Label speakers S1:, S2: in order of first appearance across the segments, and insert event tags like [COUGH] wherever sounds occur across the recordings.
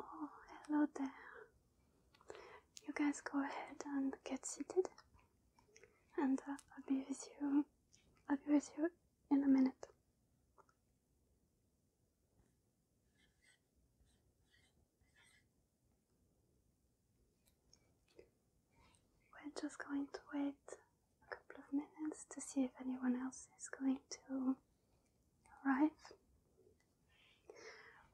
S1: Oh, hello there. You guys go ahead and get seated, and I'll be with you. I'll be with you in a minute. We're just going to wait a couple of minutes to see if anyone else is going to arrive.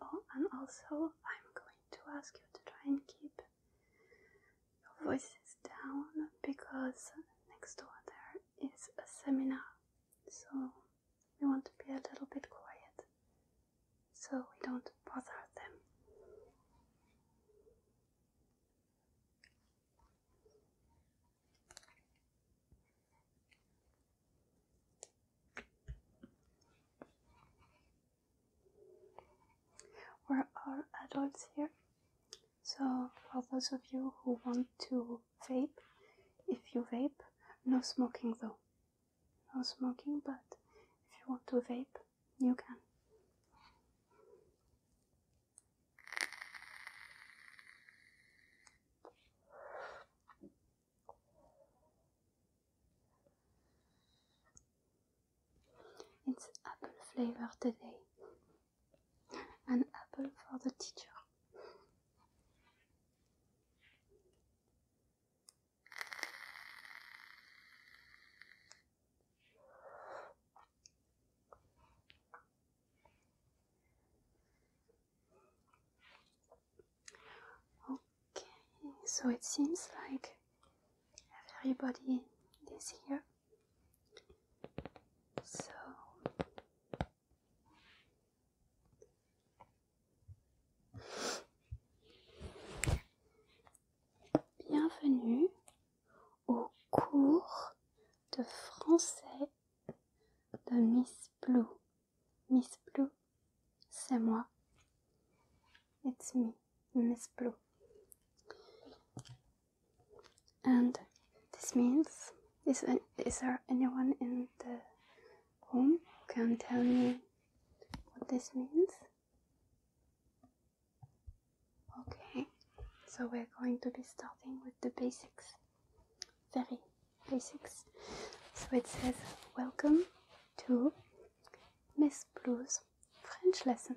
S1: Oh, and also, I'm going to ask you to try and keep your voices down because next door there is a seminar so we want to be a little bit quiet so we don't bother them. We're all adults here, so for those of you who want to vape. If you vape, no smoking though. No smoking, but if you want to vape, you can. It's apple flavor today. An apple for the teacher. Okay, so it seems like everybody is here. So Bienvenue au cours de français de Miss Blue. Miss Blue, c'est moi. It's me, Miss Blue. And this means, is, is there anyone in the room who can tell me what this means? Okay, so we're going to be starting with the basics, very basics. So it says, Welcome to Miss Blue's French lesson.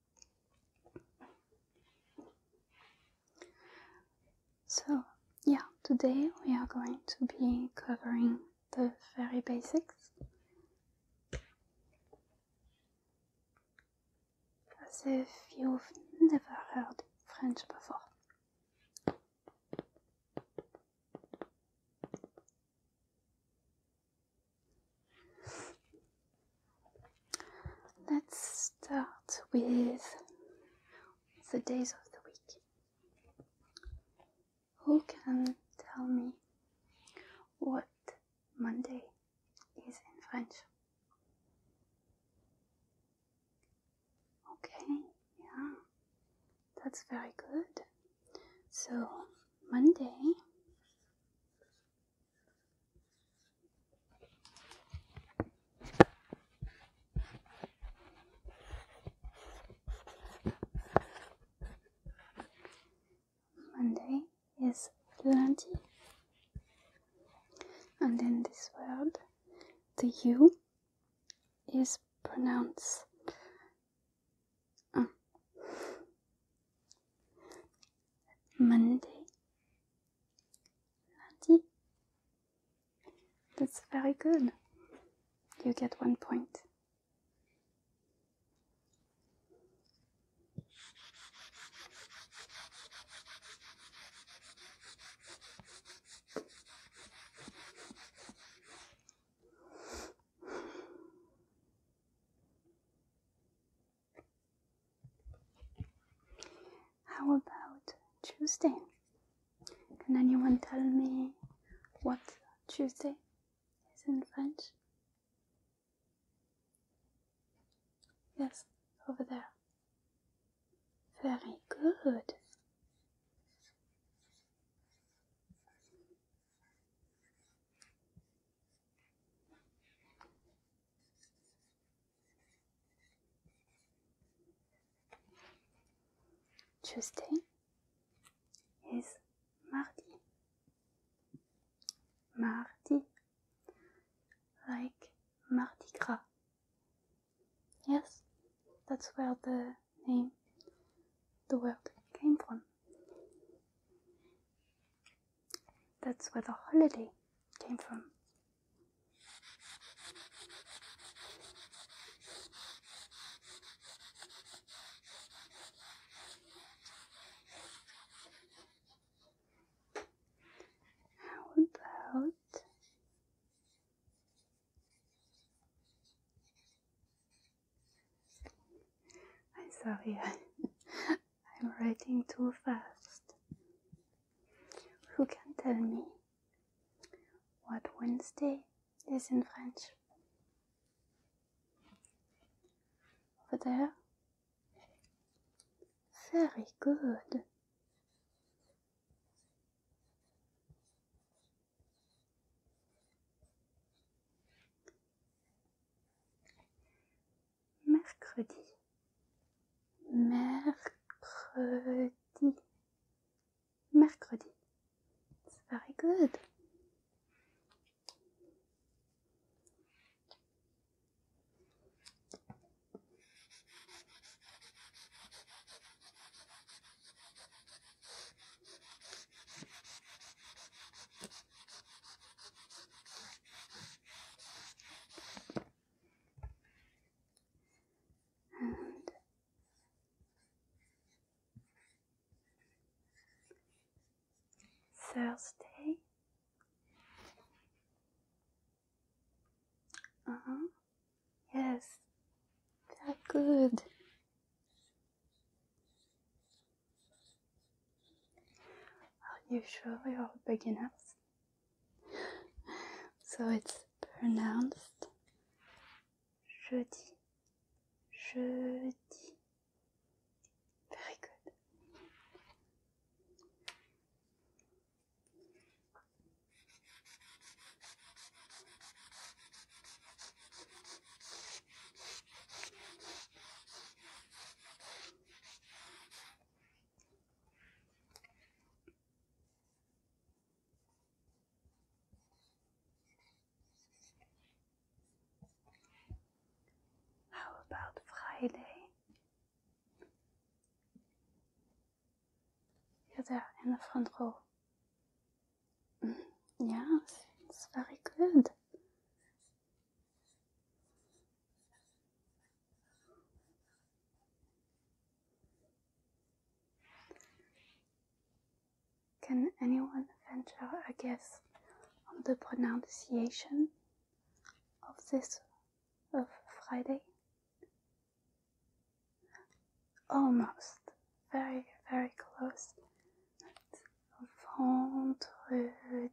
S1: So, yeah, today we are going to be covering the very basics. As if you've never heard French before. Let's start with the days of the week. Who can tell me what Monday is in French? Okay, yeah, that's very good. So, Monday Monday is plenty, and in this word, the U is pronounced. Uh, Monday, lundi. That's very good. You get one point. How about Tuesday? Can anyone tell me what Tuesday is in French? Yes, over there. Very good. Tuesday is mardi. Mardi, like Mardi Gras. Yes, that's where the name, the word came from. That's where the holiday came from. How about I'm sorry, [LAUGHS] I'm writing too fast. Who can tell me what Wednesday is in French? Over there? Very good. mercredi, mercredi, mercredi. It's very good. Thursday. Uh -huh. Yes, very good. Are Usually all beginners. So it's pronounced jeudi, jeudi. Very good. How about Friday? You're there in the front row. Mm, yes, it's very good. Can anyone venture a guess on the pronunciation of this of Friday? Almost, very, very close. It's vendredi.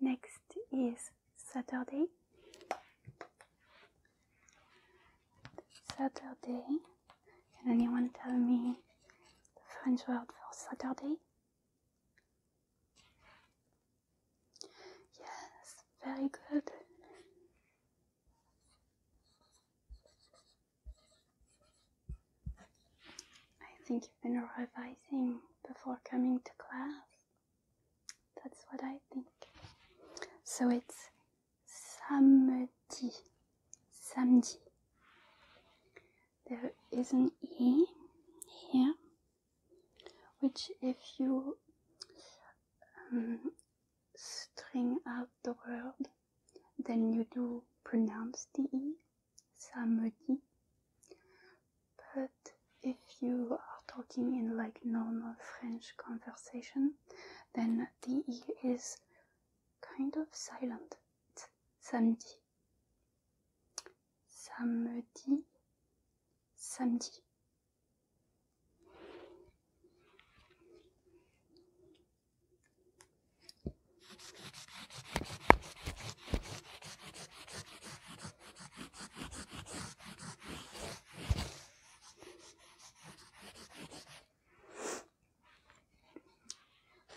S1: Next is Saturday. Saturday. Can anyone tell me the French word for Saturday? Yes, very good. I think you've been revising before coming to class. That's what I think. So it's samedi. Samedi. There is an E here, which if you um, string out the word, then you do pronounce the E samedi. But if you are talking in like normal French conversation, then the E is kind of silent. samedi. Samedi. Samedi.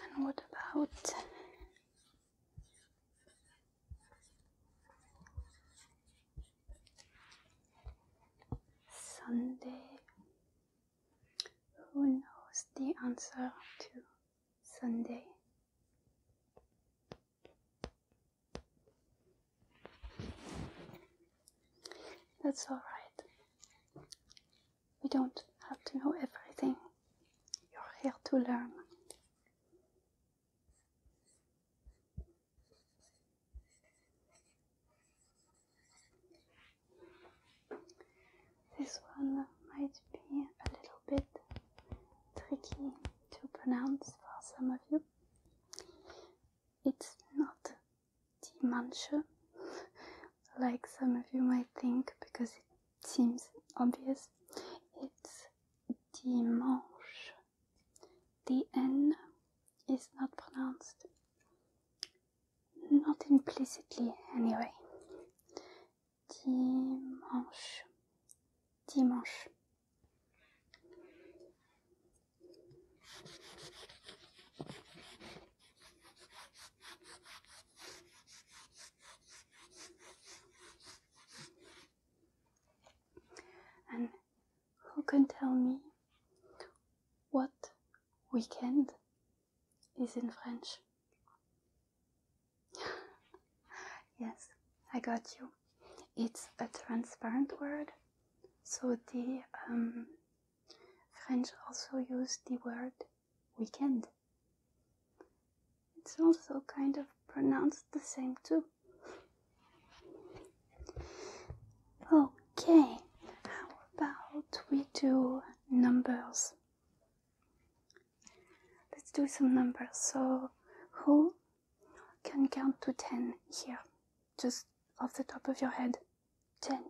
S1: And what about Sunday? Who knows the answer to Sunday. That's all right. We don't have to know everything. You're here to learn. This one might be a little bit tricky to pronounce for some of you. It's not "dimanche," like some of you might think, because it seems obvious. It's Dimanche. The N is not pronounced, not implicitly anyway dimanche, dimanche. And who can tell me what weekend is in French? yes, I got you. It's a transparent word, so the um, French also use the word weekend. It's also kind of pronounced the same too. Okay, how about we do numbers Let's do some numbers. So, who can count to 10 here? Just off the top of your head. 10.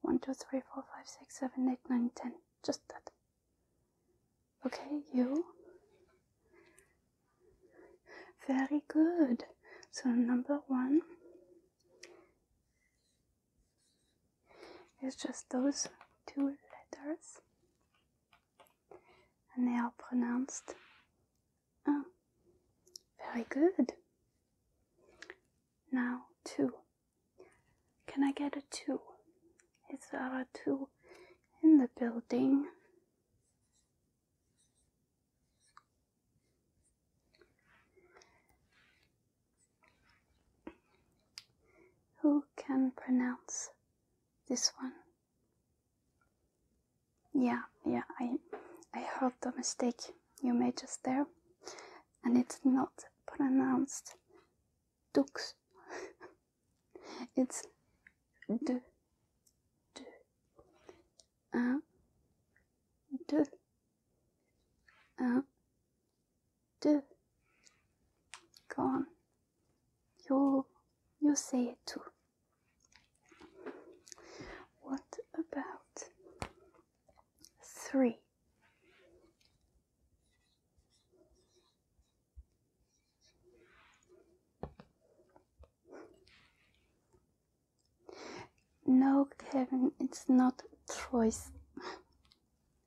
S1: 1, 2, 3, 4, 5, 6, 7, 8, 9, 10. Just that. Okay, you. Very good. So, number one it's just those two letters, and they are pronounced un. Oh, very good. Now, two. Can I get a two? Is there a two in the building? Who can pronounce this one? Yeah, yeah, I, I heard the mistake you made just there, and it's not pronounced dux. [LAUGHS] it's d, d, uh, d, uh, do. Go on. You you say it too. What about three? No, Kevin, it's not choice.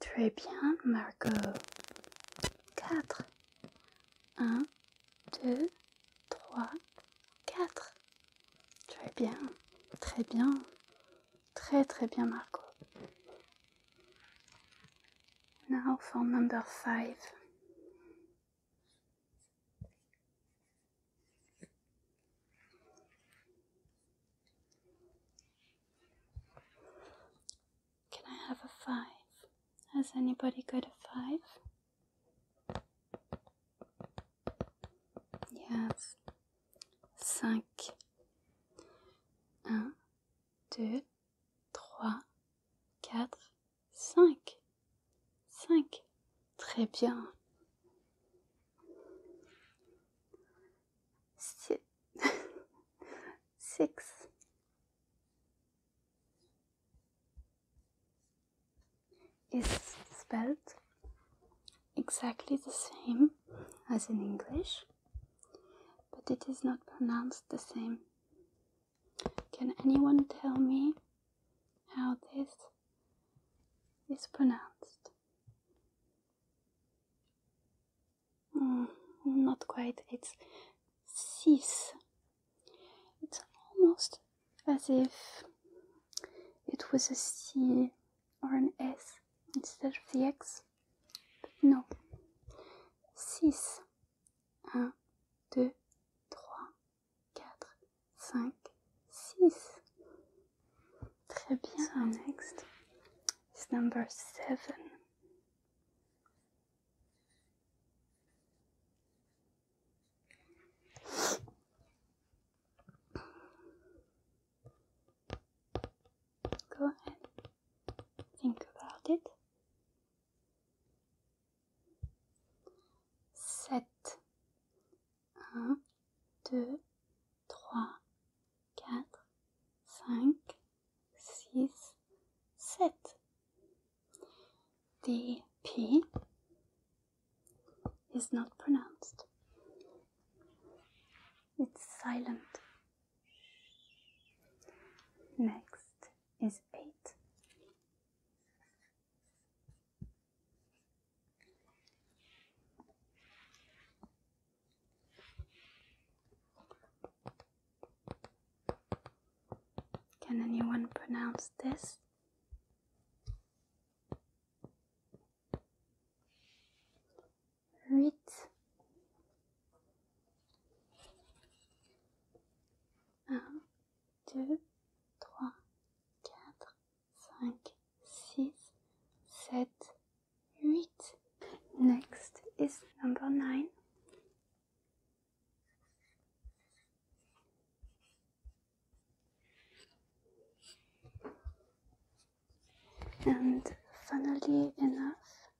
S1: Très bien, Marco 4. 1, 2, 3, 4. Très bien, très bien. Très, très bien, Margot. Now for number 5. Can I have a five? Has anybody got a five? Yes. Cinq. Un, deux, trois, quatre, cinq. Cinq. Très bien. Six. [LAUGHS] Is spelled exactly the same as in English, but it is not pronounced the same. Can anyone tell me how this is pronounced. Mm, not quite, it's cis. It's almost as if it was a C or an S instead of the X. But no. 6. 1, 2, 3, 4, 5, 6. Très bien. So next is number 7. Go ahead. Think about it. 7 1, 2, 3, 4, 5, 6, 7. The P is not pronounced. It's silent. Next is 8. Can anyone pronounce this? Rit. Un, 5, Next is number 9. And funnily enough,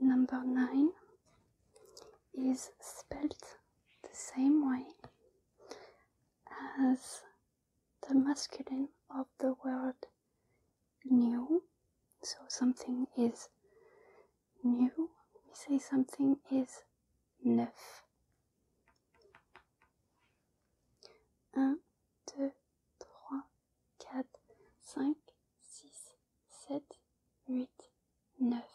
S1: number 9 is spelled the same way as the masculine of the word new. So something is new. We say something is neuf. Un, deux, trois, quatre, cinq, six, sept, huit, neuf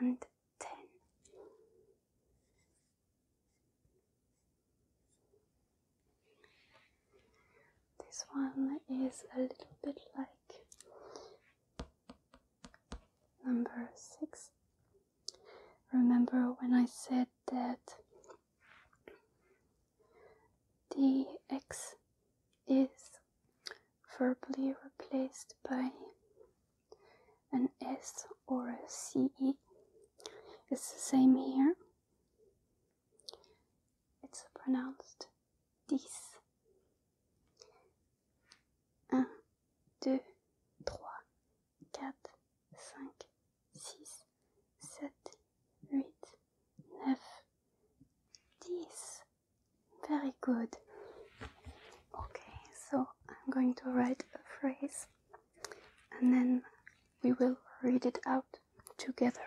S1: and ten. This one is a little bit like number six. Remember when I said that the x is verbally replaced by an S or a c. It's the same here. It's pronounced dix. Un, dix. Very good. Okay, so I'm going to write a phrase and then we will read it out together.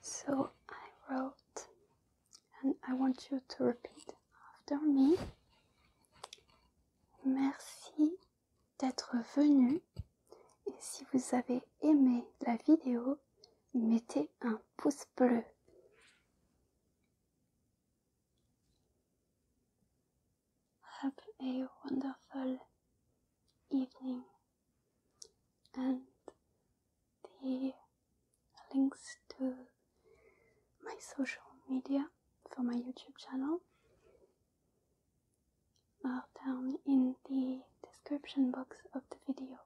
S1: So I wrote, and I want you to repeat after me. Merci d'être venu. Et si vous avez aimé la vidéo, mettez un pouce bleu. Have a wonderful evening, and the links to my social media for my YouTube channel are down in the description box of the video.